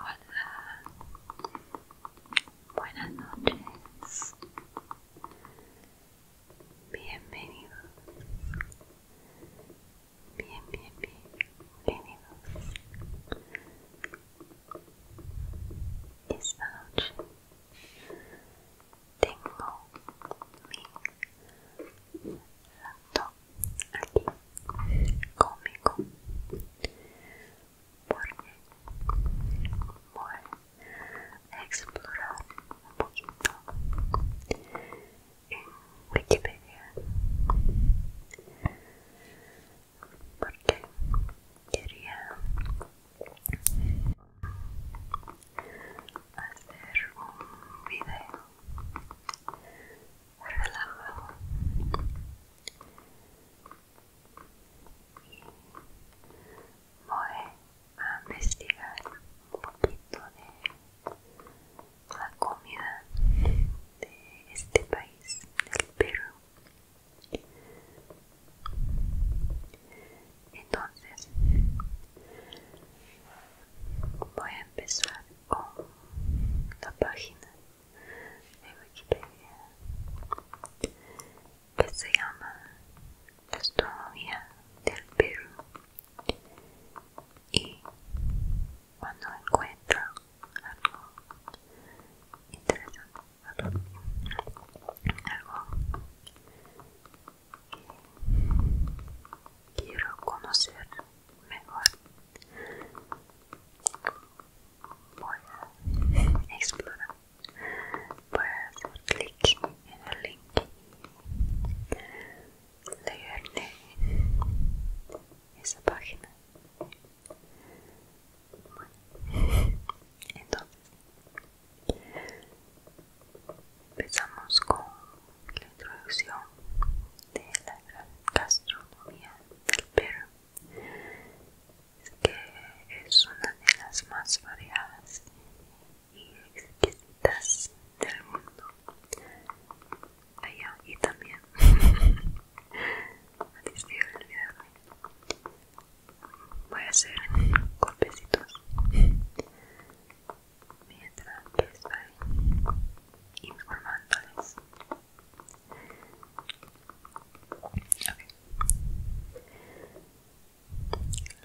Hola, buenas noches, bienvenidos, bien, bien, bien, bienvenidos. Esta noche tengo mi hablando aquí conmigo porque voy a explorar un poquito en Wikipedia porque quería hacer un video relajado y voy a investigar un poquito de la comida de este país, del Perú. Entonces, voy a empezar con la página de Wikipedia que se llama la Astronomía del Perú y cuando encuentro algo interesante algo que Quiero conocer mejor. Voy a explorar. Voy a hacer clic en el link. de esa página. Bueno, entonces empezamos con la introducción de la gran gastronomía del Perú es que es una de las más variadas y exquisitas del mundo allá y también voy a hacer golpecitos mientras estoy informándoles.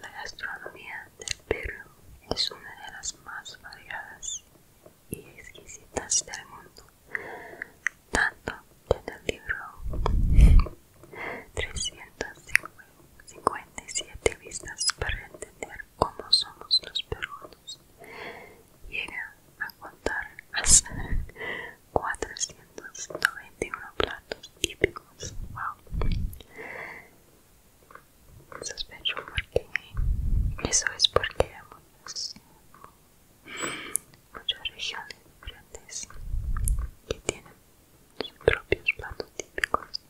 La gastronomía del Perú es una de las más variadas y exquisitas del mundo, tanto en el libro 357 vistas para entender como somos los peruanos. Llega a contar hasta 491 platos típicos. Wow. Sospecho porque eso es porque hay muchas, muchas regiones diferentes que tienen sus propios platos típicos.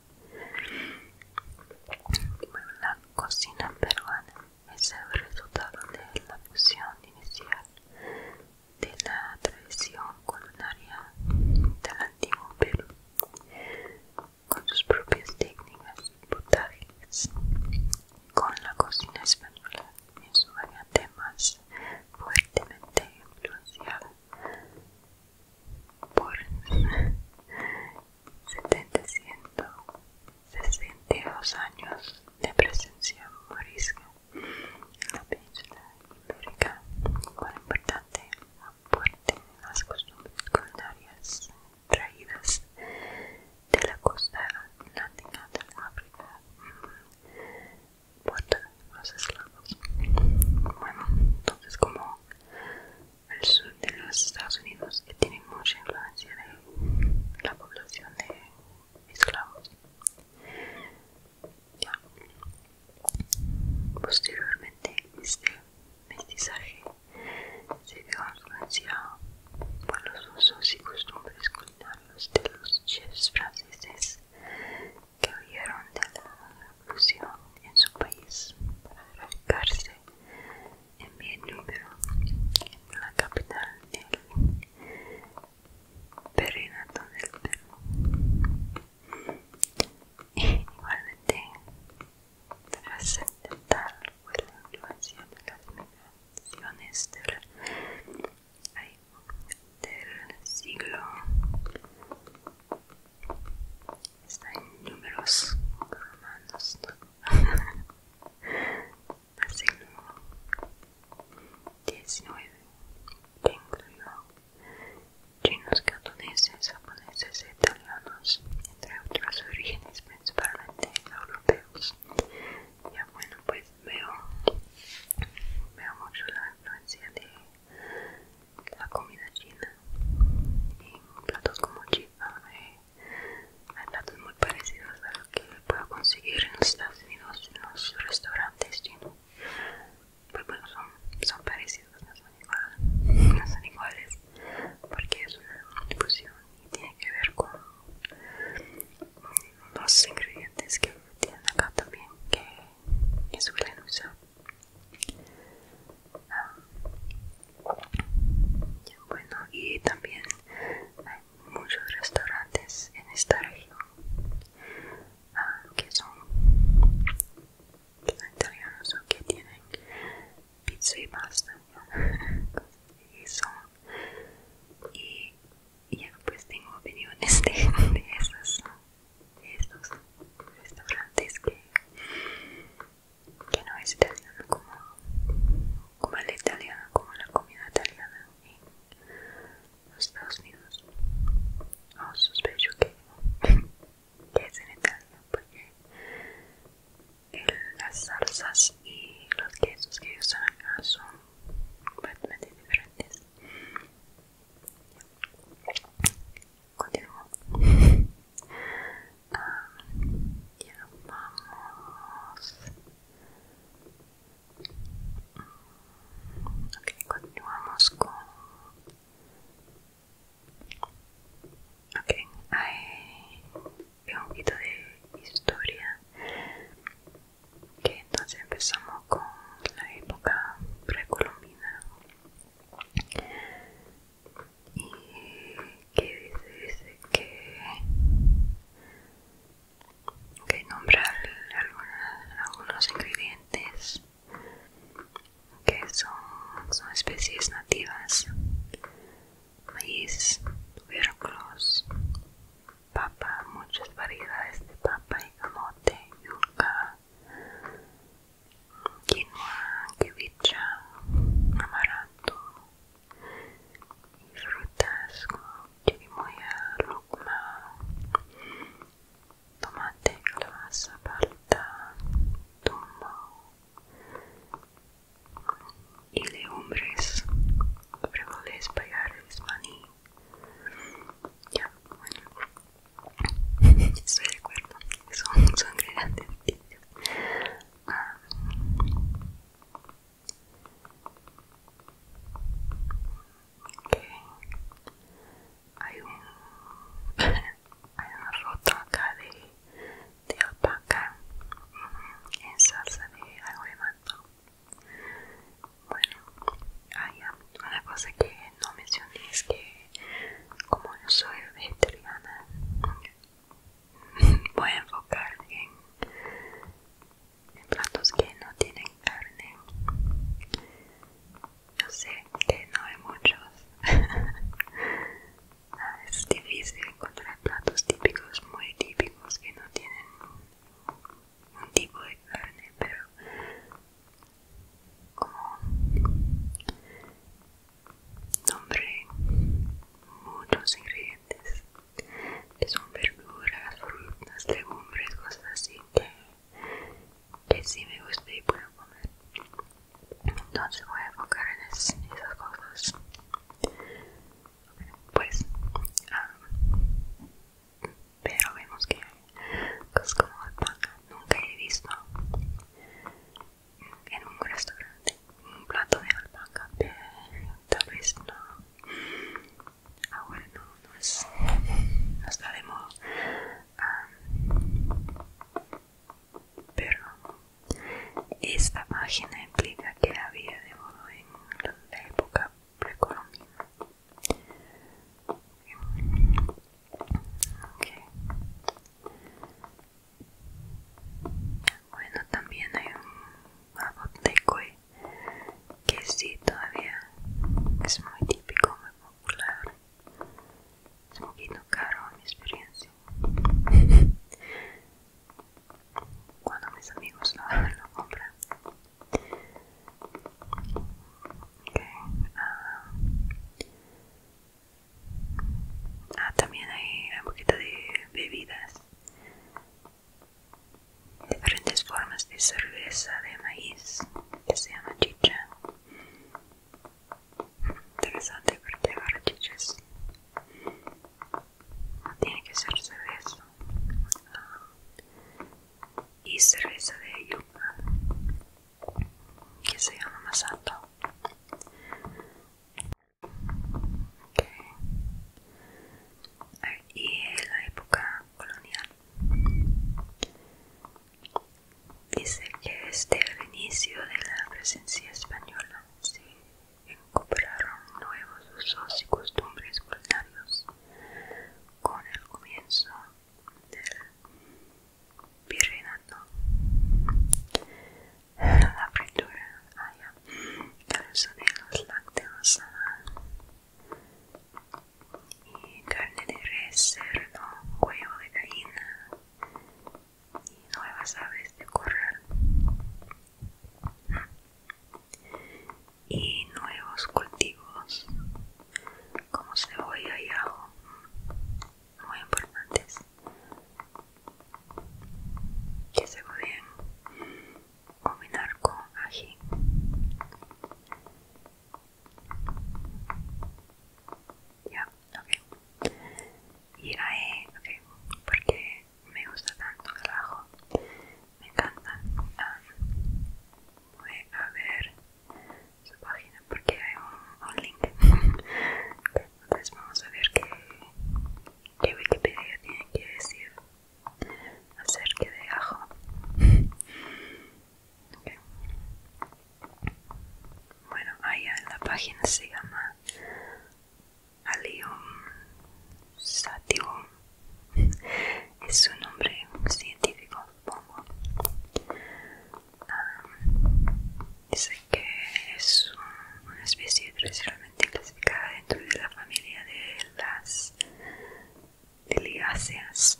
Bueno, la cocina peruana es el resultado de la fusión inicial de la tradición culinaria del antiguo Perú con sus propias técnicas y con la cocina española en su variante más fuertemente influenciada por 72 años de presencia morisca en la península ibérica, cuán importante aporte las costumbres traídas de la costa atlántica mm, de África por los esclavos. Bueno, entonces como el sur de los Estados Unidos que tiene mucha influencia de la población de esclavos. Posteriormente este mestizaje se vio influenciado por los usos y costumbres culinarios de los chefs franceses que huyeron de la fusión en su país para cárcel en mi número en la capital del Perinato del Perú. Igualmente, trascendental fue pues, la influencia de las migraciones del, siglo. Está en números romanos. 19 19, que incluyó chinos, cantoneses, japoneses italianos, entre otras orígenes principalmente europeos. Ya bueno, pues veo, veo mucho la influencia de la comida china en platos como chifa, hay platos muy parecidos a los que puedo conseguir en los Estados Unidos en los restaurantes chinos. Pues bueno, son, parecidos, no son iguales, no son iguales porque es una fusión y tiene que ver con los ingredientes que tienen acá también que, es suelen usar. Bueno, y también hay muchos restaurantes en esta región ah, que son italianos o que tienen pizza y pasta y y, pues tengo opiniones de, de, esos, de esos restaurantes que que no es italiano como, como la italiana, como la comida italiana en los Estados Unidos. Oh, sospecho que, es en Italia porque las salsas y los quesos que usan acá son completamente diferentes. Continúo. Um, ya vamos. Ok, continuamos con. Ok, hay un poquito de historia. Que entonces empezamos con la época precolombina y que dice, que que que nombrar algunos ingredientes que son, especies nativas maíz, tubérculos, papa, muchas variedades de papa y camote, yuca, quinoa, quevicha, amaranto, y frutas como chirimoya, rucma, tomate, calabaza, palta, tumba, y legumbres, frijoles, payares, maní. Ya, bueno, estoy de acuerdo, son, son grandes hay un hay una rota acá de, de alpaca en salsa de agua de Bueno, hay una cosa que no mencioné es que como yo soy vegetariana voy a enfocar en, en platos que no tienen carne. No sé que no hay muchos. Ah, es difícil encontrar platos típicos, muy típicos, que no tienen un tipo de carne, pero como Nombré muchos ingredientes que son verduras, frutas, legumbres, cosas así que, si me gusta y puedo comer. Entonces voy a enfocar en esas, cosas. Pues, ah, pero vemos que cosas pues, como alpaca nunca he visto en un restaurante un plato de alpaca pero tal vez no ahora no no, es, no está de moda ah, pero esta página implica que había de moda en la época precolombina okay. Bueno, también hay un aboteco eh, que sí todavía es muy típico, muy popular. Es un poquito caro en mi experiencia. Cuando mis amigos lo, lo compran. ok, ah, Ah, también hay un poquito de bebidas. Diferentes formas de cerveza de maíz que se llama chicha. Interesante porque ahora chichas no tiene que ser cerveza. Ah, y cerveza de yuca que se llama masato. Y en la época colonial. Dice que desde el inicio de la presencia española se incorporaron nuevos usos y costumbres culinarios con el comienzo del virreinato la fritura, ah, ya. de los lácteos ah. y carne de res, cerdo, huevo de gallina y nuevas aves de corral y nuevos cultivos como cebolla y ajo muy importantes que se pueden combinar con ají. Ya, ok. Y la E, ok, porque me gusta tanto el ajo. Me encanta. Ah, voy a ver su página porque hay un, link entonces pues vamos a ver qué, Wikipedia tiene que decir acerca de ajo. Bueno, allá en la página se llama Alium sativum. Es un nombre científico, pongo ah, Dice que es una especie tradicionalmente clasificada dentro de la familia de las liliáceas,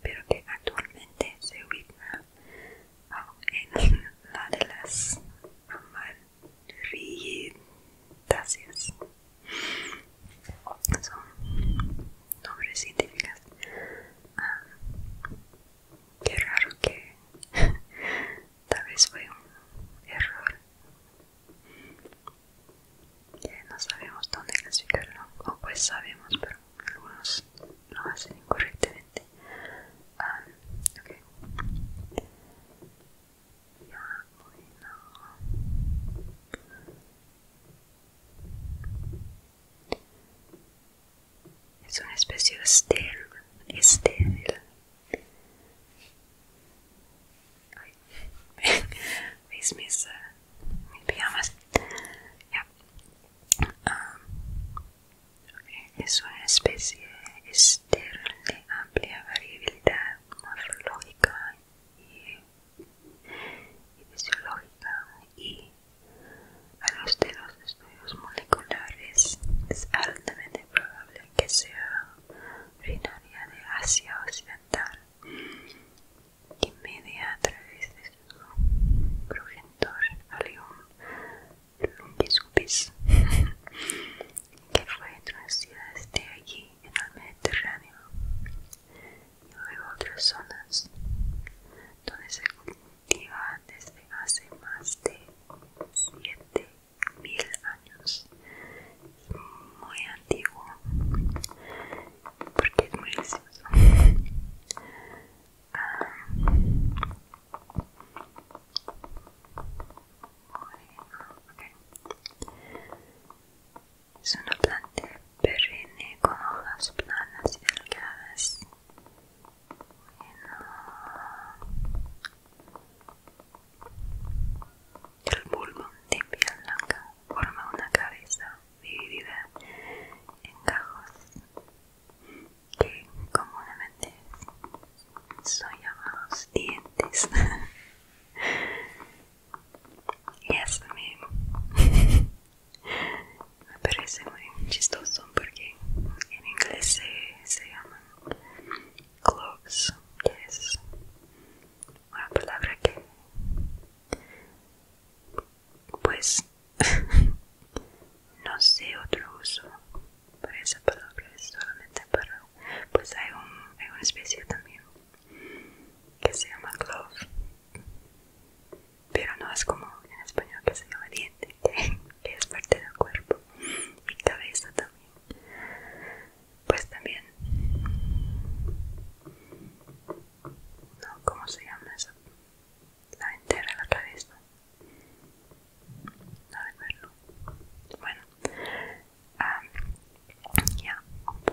pero que actualmente se ubica en la de las amarillentáceas. Son nombres científicos. Ah, qué raro que tal vez fue un error no sabemos dónde clasificarlo o pues sabemos pero algunos lo hacen incorrectamente ah, okay. es una especie de estéril ¿Veis mis, eh, ah, Es una especie estéril de amplia variabilidad morfológica y, fisiológica y a los de estudios moleculares, es altamente probable que sea originaria de Asia Occidental y media a través de su progenitor un que fue introducida desde allí en el Mediterráneo y luego otras zonas donde se cultiva desde hace más de 7 mil años muy antiguo porque es muy gracioso ah. es una planta perenne con hojas planas y delgadas el bulbo de piel blanca forma una cabeza dividida en cajos que comúnmente son llamados dientes. y eso me, parece muy chistoso porque en inglés se llama que es Una palabra que, pues, no sé otro uso para esa palabra, es solamente para, pues hay, un, hay una especie también que se llama glove, pero no es como en español que se llama diente, que es parte del cuerpo mi cabeza también pues también no cómo se llama esa la entera la cabeza no recuerdo bueno ya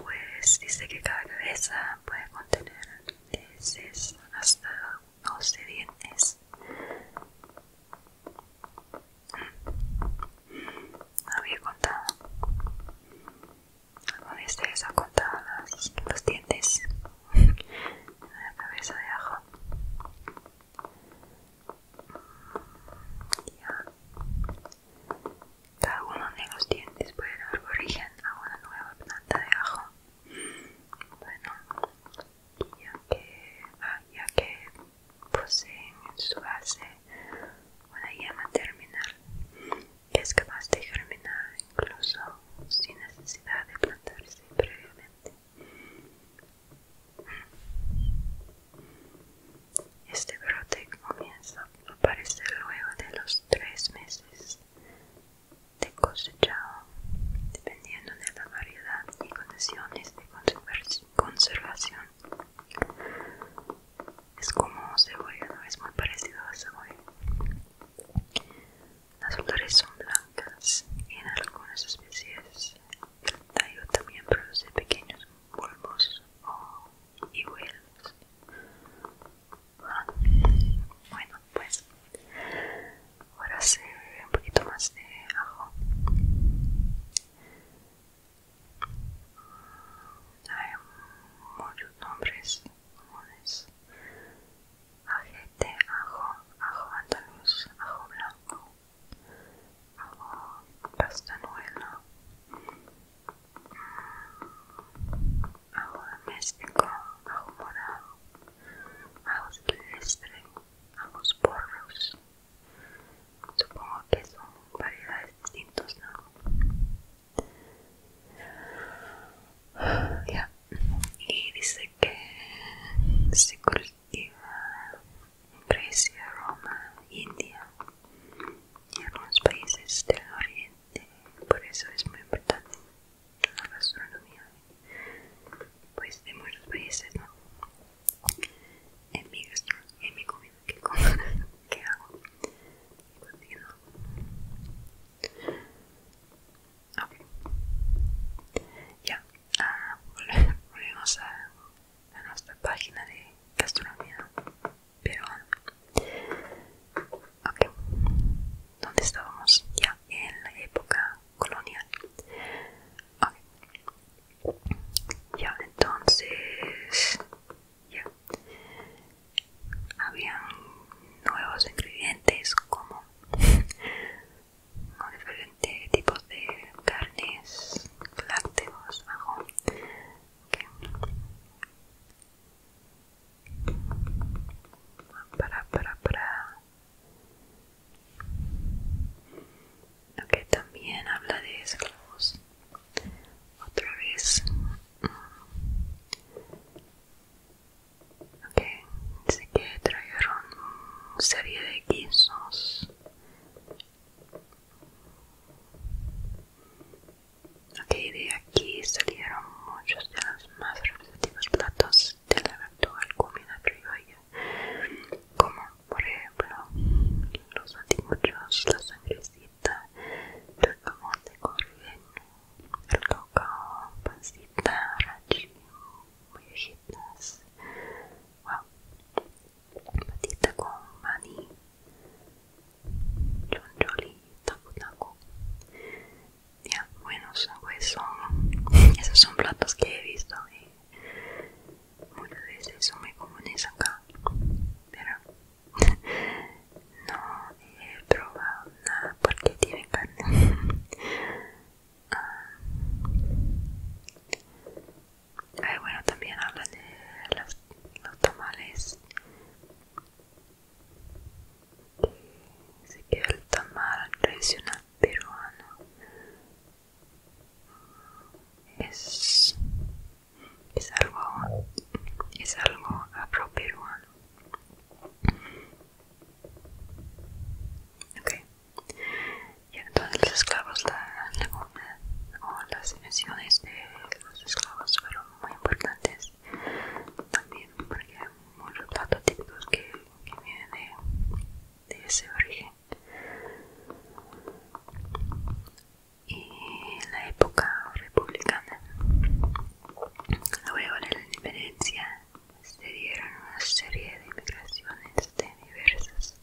pues dice que cada cabeza puede contener hasta 12 dientes había contado alguna de ustedes ha contado los dientes de la cabeza de ajo mm, ya cada uno de los dientes puede dar origen a una nueva planta de ajo bueno ya que, ah, ya que poseen en su base una yema terminal que es capaz de germinar incluso sin necesidad de plantarse previamente. Este brote comienza a aparecer luego de los tres meses de cosechado, dependiendo de la variedad y condiciones conservación es como cebolla, ¿no? es muy parecido a cebolla las flores son blancas en algunas especies el tallo también produce pequeños bulbos o hijuelos ah, bueno pues ahora se ve un poquito más de ajo hay muchos nombres comunes ajete, ajo, ajo andaluz, ajo blanco ajo castañuelo ajo doméstico, ajo morado ajo silvestre, ajo porros Supongo que son variedades distintas, ¿no? Ya. Y dice que se cultiva en Grecia, Roma, India y algunos países del Oriente. Por eso es muy importante la gastronomía, pues de muchos países, ¿no? en mi gastro, en mi comida que como, que hago qué Ya, ah, volvemos a, nuestra página de gastronomía Pero Ok. ¿Dónde estábamos? Ya, en la época colonial. Ya, entonces. Ya. Habían nuevos ingredientes como. como diferentes tipos de carnes, lácteos, ajo. Para, para, para. Ok, también habla de esclavos. Otra vez. Mm. Ok, dice que trajeron una serie de guisos. Ok, de aquí salieron muchos de los más representativos platos de la actual comida criolla, como por ejemplo, los anticuchos, la sangrecita, el jamón de corriente, el cacao, pancita, rachi, mollejitas, wow, patita con maní, choncholi, taco taco. Ya, bueno, pues son, esos son platos que he visto. Eh muchas veces son muy comunes acá, pero no he probado nada porque tienen carne. Ah. Ay, bueno, también hablan de los, tamales tamales. Se queda el tamal tradicional peruano es, algo es algo apropiado okay. y entonces los esclavos la, o las dimensiones de los esclavos fueron muy importantes también porque hay muchos platos típicos que, vienen de ese origen y en la época republicana. Luego de la independencia se dieron una serie de migraciones de diversas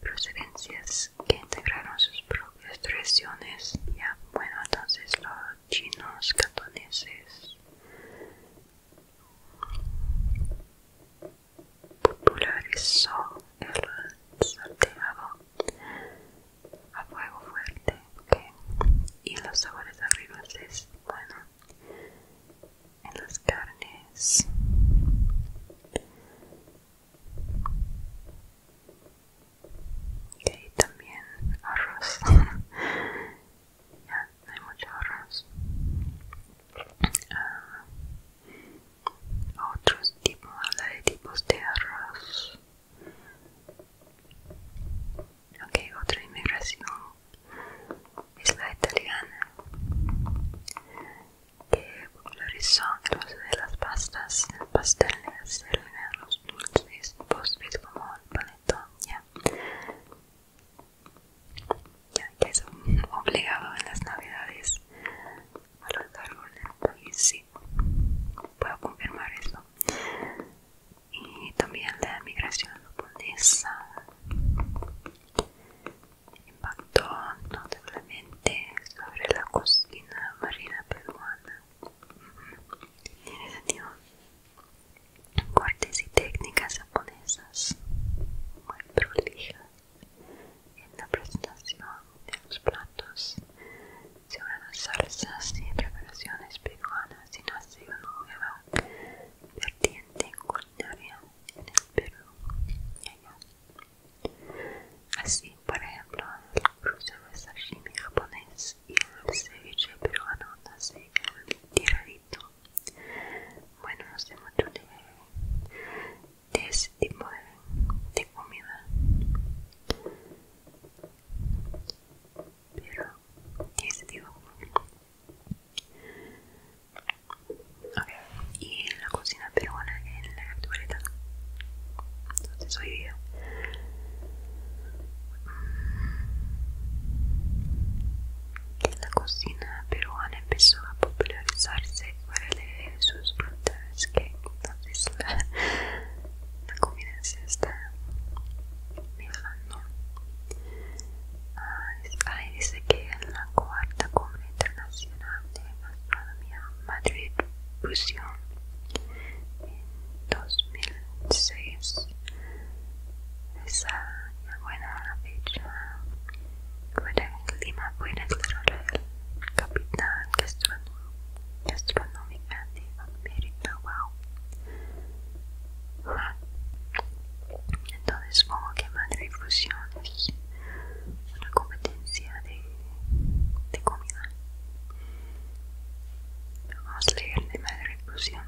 procedencias que integraron sus propias tradiciones. Ya, bueno, entonces los chinos, cantoneses, popularizó el salteado a fuego fuerte okay. y los sabores arriba es bueno en las carnes y también arroz ya no hay mucho arroz ah, otros tipo, habla de tipos de arroz. Ok, otra inmigración es la italiana, que popularizó el uso de las pastas, pasteles, los dulces, postres como el paletón, ya que es obligado en las navidades a los árboles y sí puedo confirmar eso y también la migración japonesa impactó notablemente sobre la cocina marina peruana tiene sentido cortes y técnicas japonesas muy prolijas en la presentación de los platos se unen salsas y preparaciones peruanas y nace una nueva vertiente culinaria en el Perú Así, por ejemplo, el cruce de sashimi japonés y el ceviche peruano nace el tiradito bueno, no sé mucho de, de ese tipo de, comida. Pero, de ese tipo. Okay. Y la cocina peruana en la actualidad. Entonces hoy día. Mm, la cocina peruana empezó a popularizarse para leer sus frutas que entonces la, la comida se está mirando ahí dice que en la cuarta comida internacional de gastronomía Madrid fusión en 2006 esa bueno, buena fecha buena buena capital de América wow entonces supongo que Madre Fusión es una competencia de, comida vamos a leer de Madre Fusión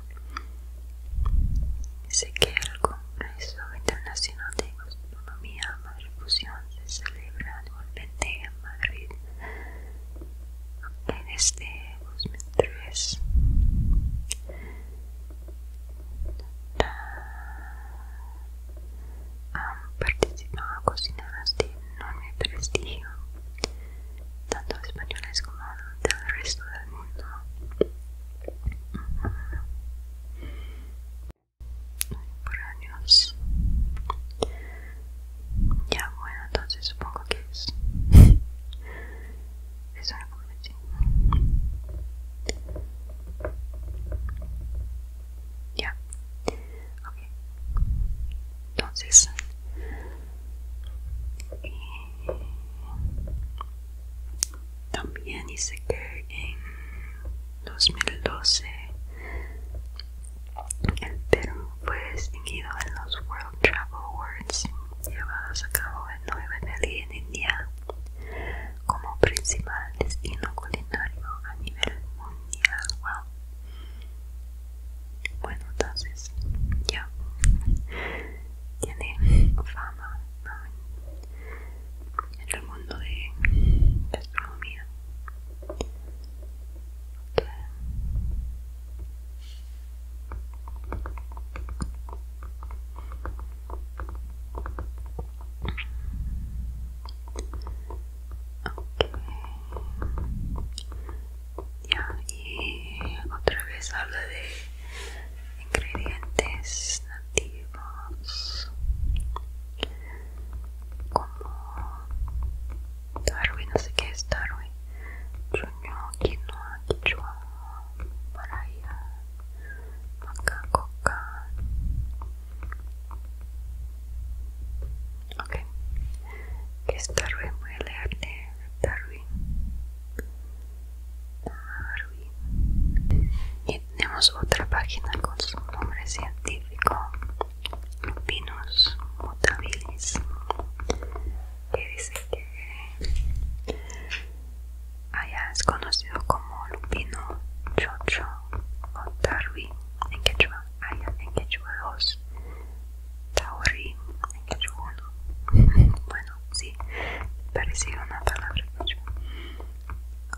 Sé que el Congreso Internacional de la Madrid-Fusión se celebra anualmente en Madrid, en este 2003 han ah, participado cocineras de enorme prestigio, tanto españoles como del resto del mundo. por años. Ya, bueno, entonces supongo que es. es Ya, ok. Entonces. Eh, También dice que en 2012 el Perú fue distinguido en los World Travel Awards llevados a cabo en Nueva Delhi en India como principal destino culinario a nivel mundial. Bueno, entonces ya tiene fama, en el mundo de gastronomía. Ya, y otra vez habla de ingredientes como Darwin, no sé qué es Darwin, Chuño, Quinoa, Quichua, Maraya, Macaco, Okay Ok, ¿qué es Darwin? Voy a leerte Darwin. Darwin y tenemos otra página con su nombre científico Lupinus mutabilis que dice que allá es conocido como lupino chocho o tarwi en quechua allá en quechua 2 tauri en quechua 1 bueno sí parecía una palabra quechua o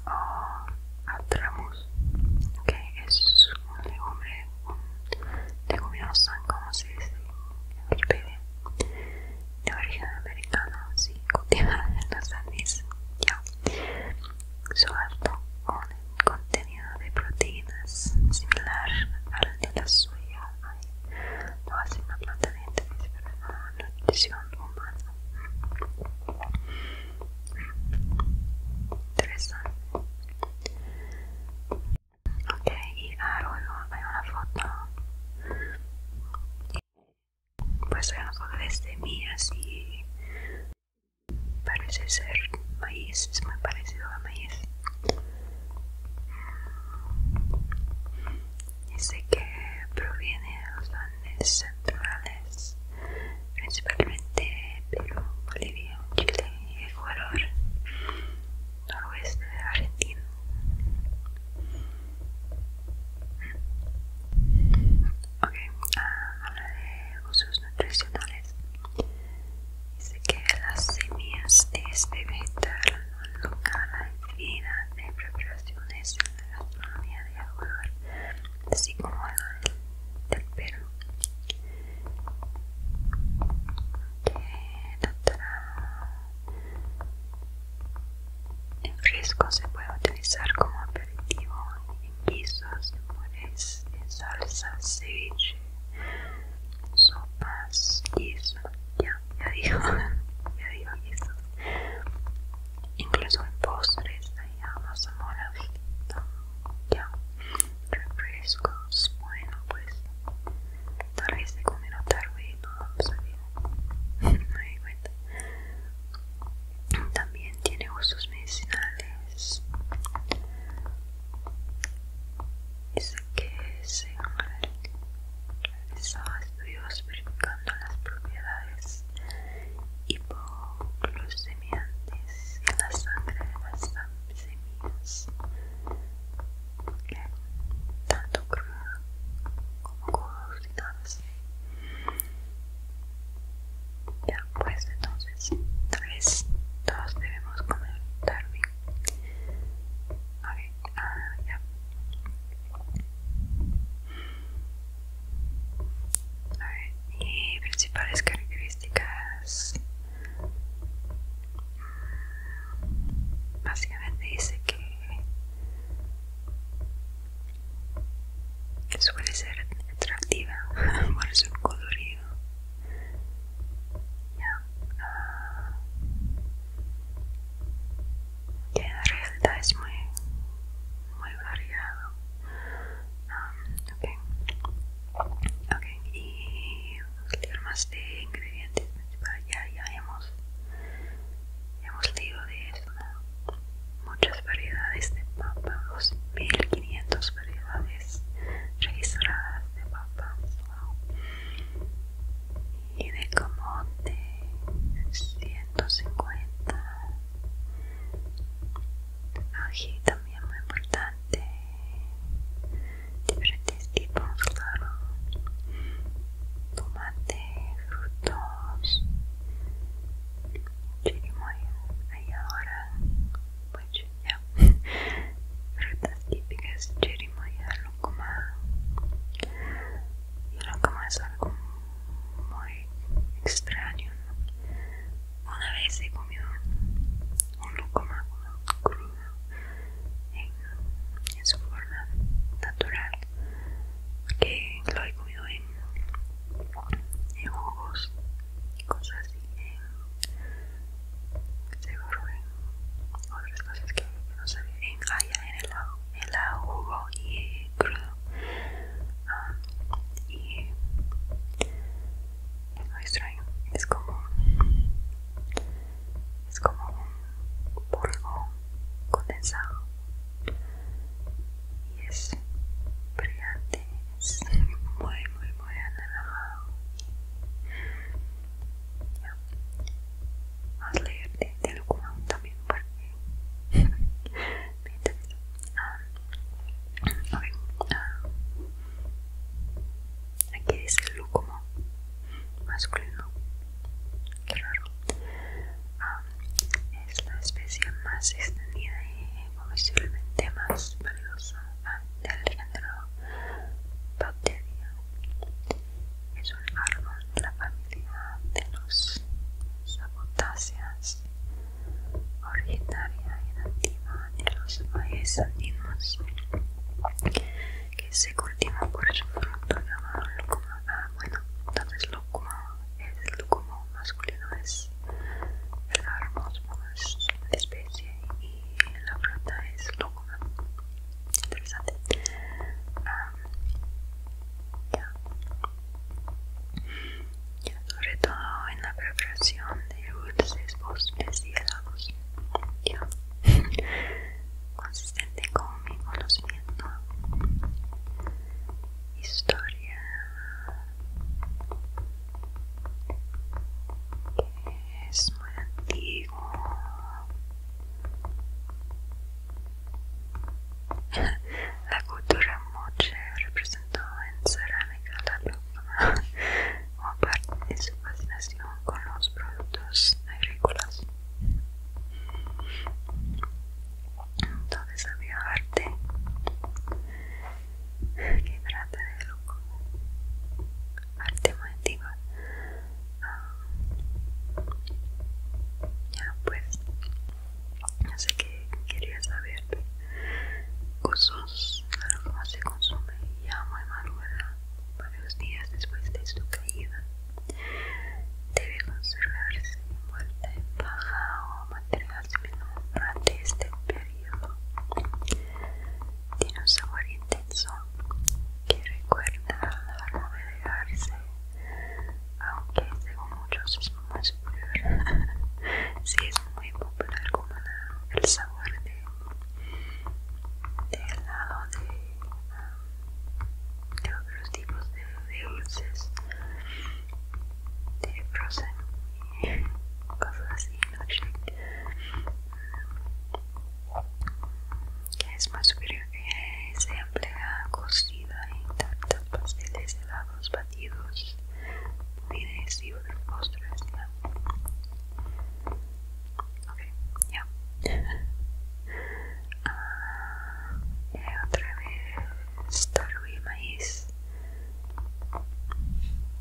ah, atramus, que es un legumbre, un leguminoso, como se dice en de origen americano, sí, cultivada en los Andes. Ya, Su alto contenido de proteínas similar al de la suya, lo hace una planta de interés para la nutrición humana Interesante. Ok, y ahora a hay una foto. Pues hay una foto de semillas este y parece ser maíz, es muy parecido a maíz. Dice que proviene de los Andes centrales, principalmente Perú, Bolivia, Chile y Ecuador, noroeste de Argentina. Ok, a ah, habla de usos nutricionales. Dice que las semillas de este vegetal local la de preparaciones de la gastronomía de Ecuador, así como el del, pelo ok, la otra... en fresco se puede utilizar como aperitivo en guisos, en purés, en salsas, ceviche, sopas, guiso, ya, ya digo, ya digo guisos incluso en postres hay amas moradita, ya, refrescos, bueno pues, tal vez se comer a tarde y no vamos no me cuenta. También tiene usos medicinales. Dice que se sal estudios verificando las propiedades semiantes en la sangre de las semillas, tanto crudas como cocidas Ya, pues entonces, tal vez todos debemos comentar bien. Okay. Ah, ya y principales características mm, básicamente dice que suele ser atractiva por su colorido ya en ah, realidad es muy muy variado. ok um, okay. Okay. y vamos más de ingredientes Ya, ya hemos, hemos leído de Muchas variedades de papa, 2500 variedades registradas de papa. Y de como de 150 Ají también muy importante. Diferentes tipos, claro. Tomate, frutos. Chirimoya, ahí ahora. Pues ya. Frutas típicas, chirimoya, lúcuma. Y no es algo muy extraño. Una vez he comido un lucomáculo crudo en, su forma natural, que lo he comido en, en jugos y cosas así. En, seguro en otras cosas que no sabía. En, haya, en el lago el jugo y crudo ah, y es muy extraño es como es como un polvo condensado y es brillante es muy muy muy anaranjado más Vamos a de también porque Ah, ah, aquí dice el masculino. Qué raro. Ah, es la especie más extendida y posiblemente más valiosa del género Bacteria. Es un árbol de la familia de los sabotáceas originaria y nativa de los países andinos, que se cultivan por su fruto llamado lúcuma. Ah, bueno, entonces lúcuma es el masculino, es el árbol la especie y la fruta es loco. Interesante. ah, sobre todo en la preparación de dulces, postres y helados. Consistente con mi conocimiento. Historia que es muy antiguo la cultura moche representó en cerámica la luna, como parte de su fascinación con los productos agrícolas. Entonces había arte que trata de lo arte muy ah, ya pues así que quería saber cosas claro cómo se consume ya muy madura varios días después de su caída debe conservarse envuelta en paja o material similar durante este periodo tiene un sabor intenso que recuerda al aunque según muchos es muy superior sí es muy popular como el sabor de, helado um, de, otros tipos de, dulces de frozen y cosas así milkshake que es más superior que se emplea cocida en tantos pasteles, helados, batidos ni y otros postres ¿ya? ok ya ah, eh, otra vez Star y maíz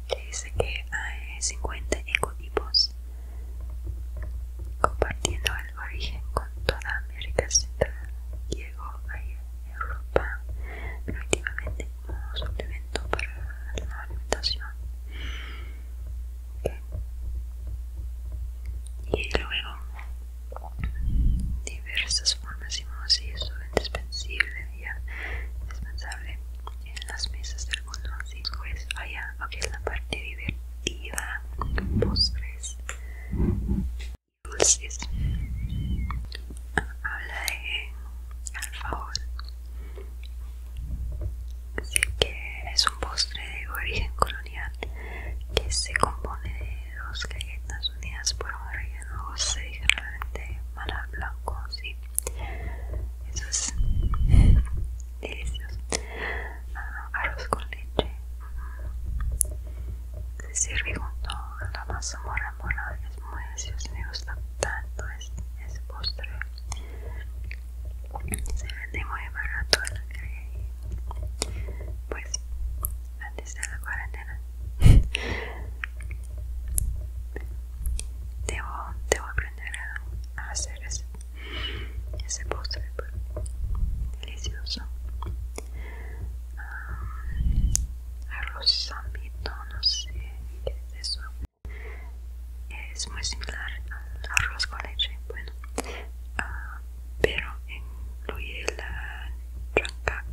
que dice que hay 50 ecotipos compartiendo el origen con toda América Central hay en Europa primitivamente, como suplemento para la alimentación. Y luego, diversas formas y modos indispensable ya indispensable en las mesas del mundo. Así pues, allá, aquí es la parte divertida, postres dulces. Habla de alfajor. así que es un postre de origen colonial que se compone de dos galletas unidas por un relleno de y realmente, maná blanco. Sí, eso es delicioso. Ah, arroz con leche se sirve junto a la mazamorra morada es muy delicioso, me gusta tanto ese, postre. Se vende muy barato la y pues antes de la cuarentena. Debo, aprender a hacer ese, ese postre pues, delicioso arroz zambito no sé qué es eso. Es muy similar al arroz con leche, bueno, ah, pero incluye la tranca,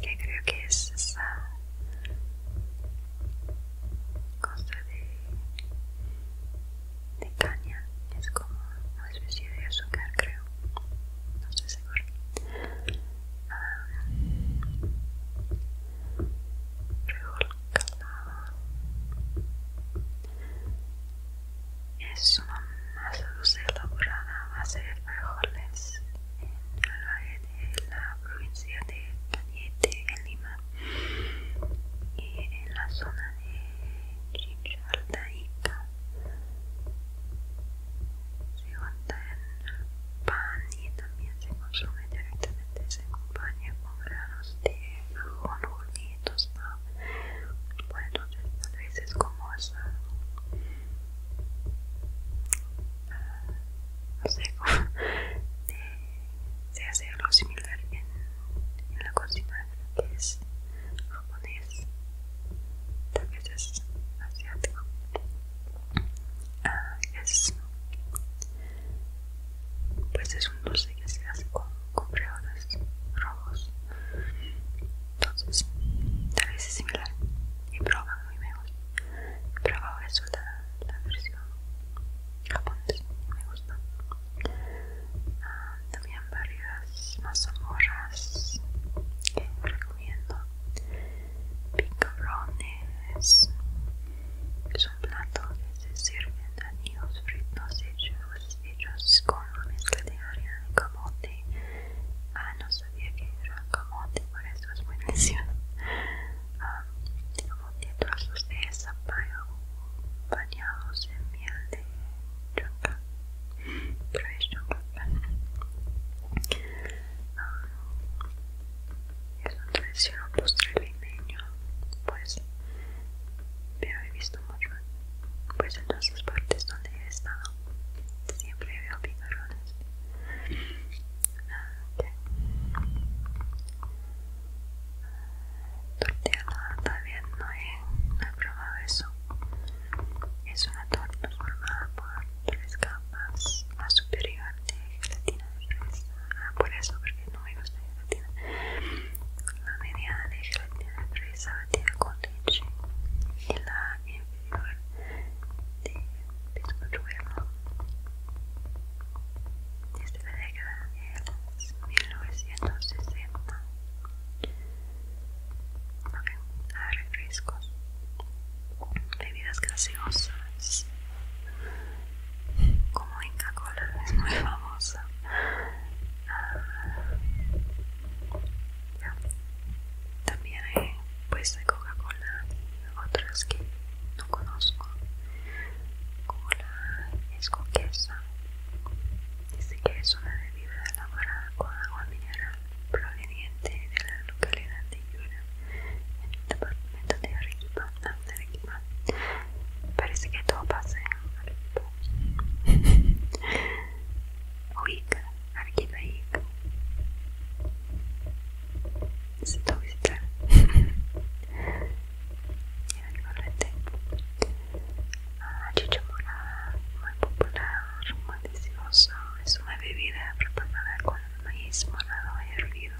que creo que es esa cosa de, de caña, es como una especie de azúcar creo no estoy segura um, calado es una masa dulce elaborada a base de frijoles en el valle de la provincia de Cañete en Lima y en la zona de Chincha se junta en pan y también se consume directamente. Se acompaña con granos de ajonjolí tostado. Bueno, entonces tal vez es como esa... Ah, se hace algo similar en, en la cocina que es japonés también es asiático ah, es pues es un dulce que se hace con, rojos entonces tal vez es similar y proban muy he probado eso la, versión japonesa me gusta ah, también varias mazamorras que recomiendo picarones es un plato que se sirve sirven anillos fritos hechos, hechos con una mezcla de harina de camote ah no sabía que era camote por eso es muy delicioso um, camote trozos de zapallo bañados en miel de professional uh, es un tradicional postre niño pues pero he visto mucho pues en todas las partes donde he estado siempre veo picarones ok tortilla también no no he probado eso es una torta formada por tres capas. La superior de gelatina de fresa. Ah, por eso, porque no me gusta la gelatina. La mediana de gelatina de fresa batida con leche. Y la inferior de bizcocho bueno. Desde la década de 1960 refrescos, bebidas gaseosas, como Inca Cola es muy famosa. Ah, También hay pues de Coca-Cola, otras que no conozco, es la escoquesa dice que es una bebida elaborada con agua mineral proveniente de la localidad de Yura, en el departamento de Arequipa, de Arequipa. Parece que todo pasa en Arequipa. Oiga, Arequipa, Ica. Necesito visitar. Era el correte. La chicha morada, muy popular, muy delicioso, es una bebida preparada con el maíz morado hervido,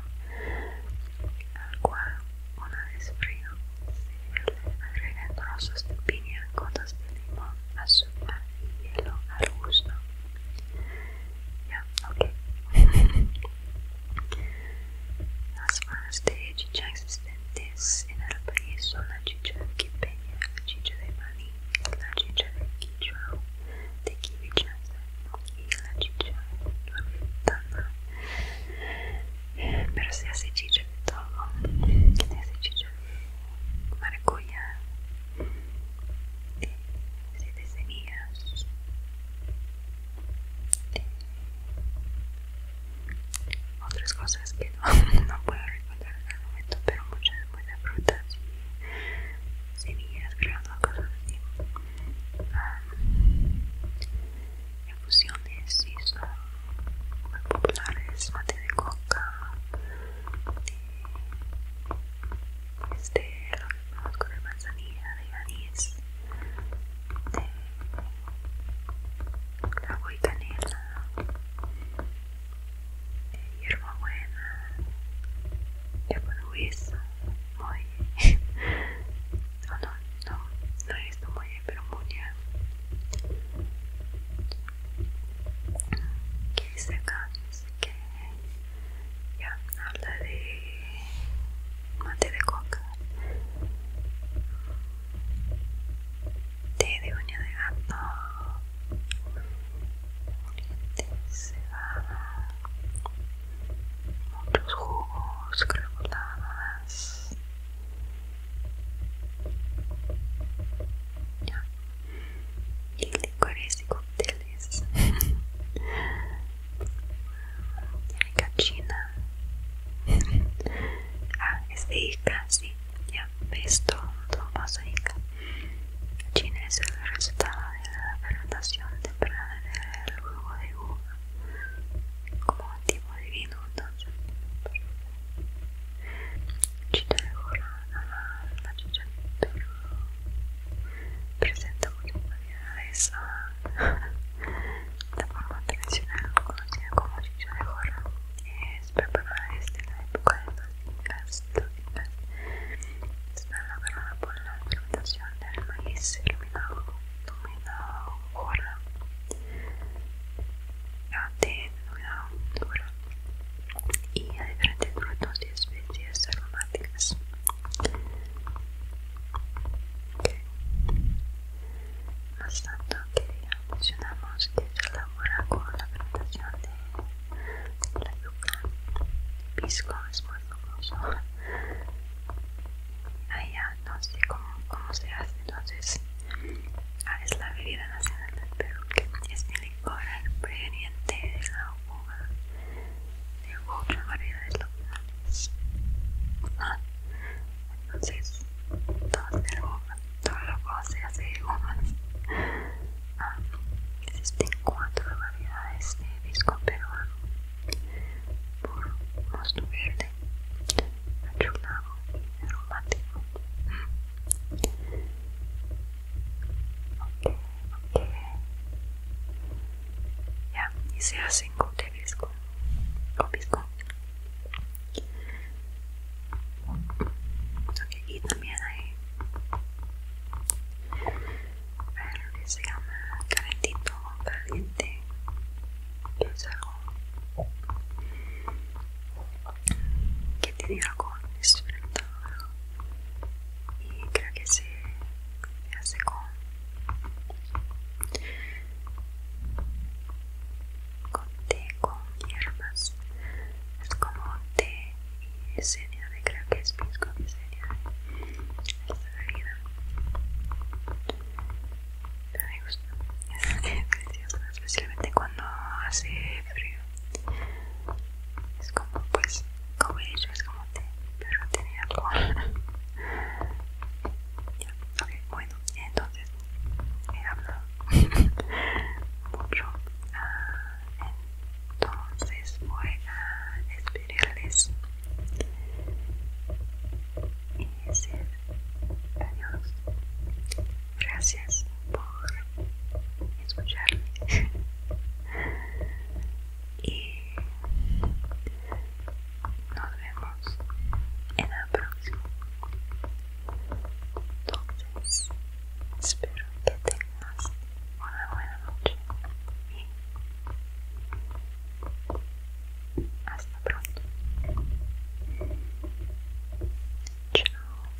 al cual una vez frío se le agregan trozos de piña, gotas de limón, azúcar y hielo al gusto. Ya, ok. Las formas de chicha existentes en el país son la chicha de quipeña, la chicha de maní, la cicera Kichwa, the Kiwi Chaser, e la cicera Norvitana. Pero se hace chicha de todo, que se hace chicha de maracuyá, se de semillas, otras cosas que no, no puedo recordar al momento, mas muchas muy de frutas y semillas, creo, ¿no? cosas así. Um, infusiones sí son muy populares, mate de coca, de, eh, este, lo que conozco de manzanilla, de anís, de agua y canela. Eh, hierbabuena. Ya puedo eso. No, no, no. No he muy bien, pero muy bien. ¿Qué dice acá? Dice que ya habla de mate de coca té de uña de gato, se cebada, muchos jugos, creo cremoladas. Ya. Y licores y cocteles Tiene cachina. ah, es de hija sí. Ya. Esto visto junto China es el resultado de la fermentación temprana del jugo de uva como tipo divino, entonces. China de la chicha presenta muchas variedades a ah, la forma tradicional conocida como chicha de jorra es preparada desde la época de los incas Está elaborada por la fermentación del maíz y a diferentes frutos y especies aromáticas más tanto que mencionamos que se con la fermentación de la yuca, pisco es muy famoso allá no sé cómo, se hace entonces ah, es la bebida nacional del Perú que es el licor proveniente de la uva de otra variedades locales ah, entonces dos de todo lo goce hace gomas existen cuatro variedades de disco peruano por mosto verde achulado aromático ok ok ya hice a cinco de disco o disco y también hay lo que se llama calentito caliente, que es algo que tiene algo experimentado y creo que se hace con con té con hierbas es como té y SNAD, creo que es Pisco SNAD. Esta bebida me gusta, es que especialmente cuando hace frío. Es como, pues, como he es como té, pero tiene algo ya, bueno, entonces he hablado mucho. Ah, entonces voy a despedirles y decir adiós gracias por escucharme y nos vemos en la próxima entonces, espero que tengas una buena noche y hasta pronto. Chao.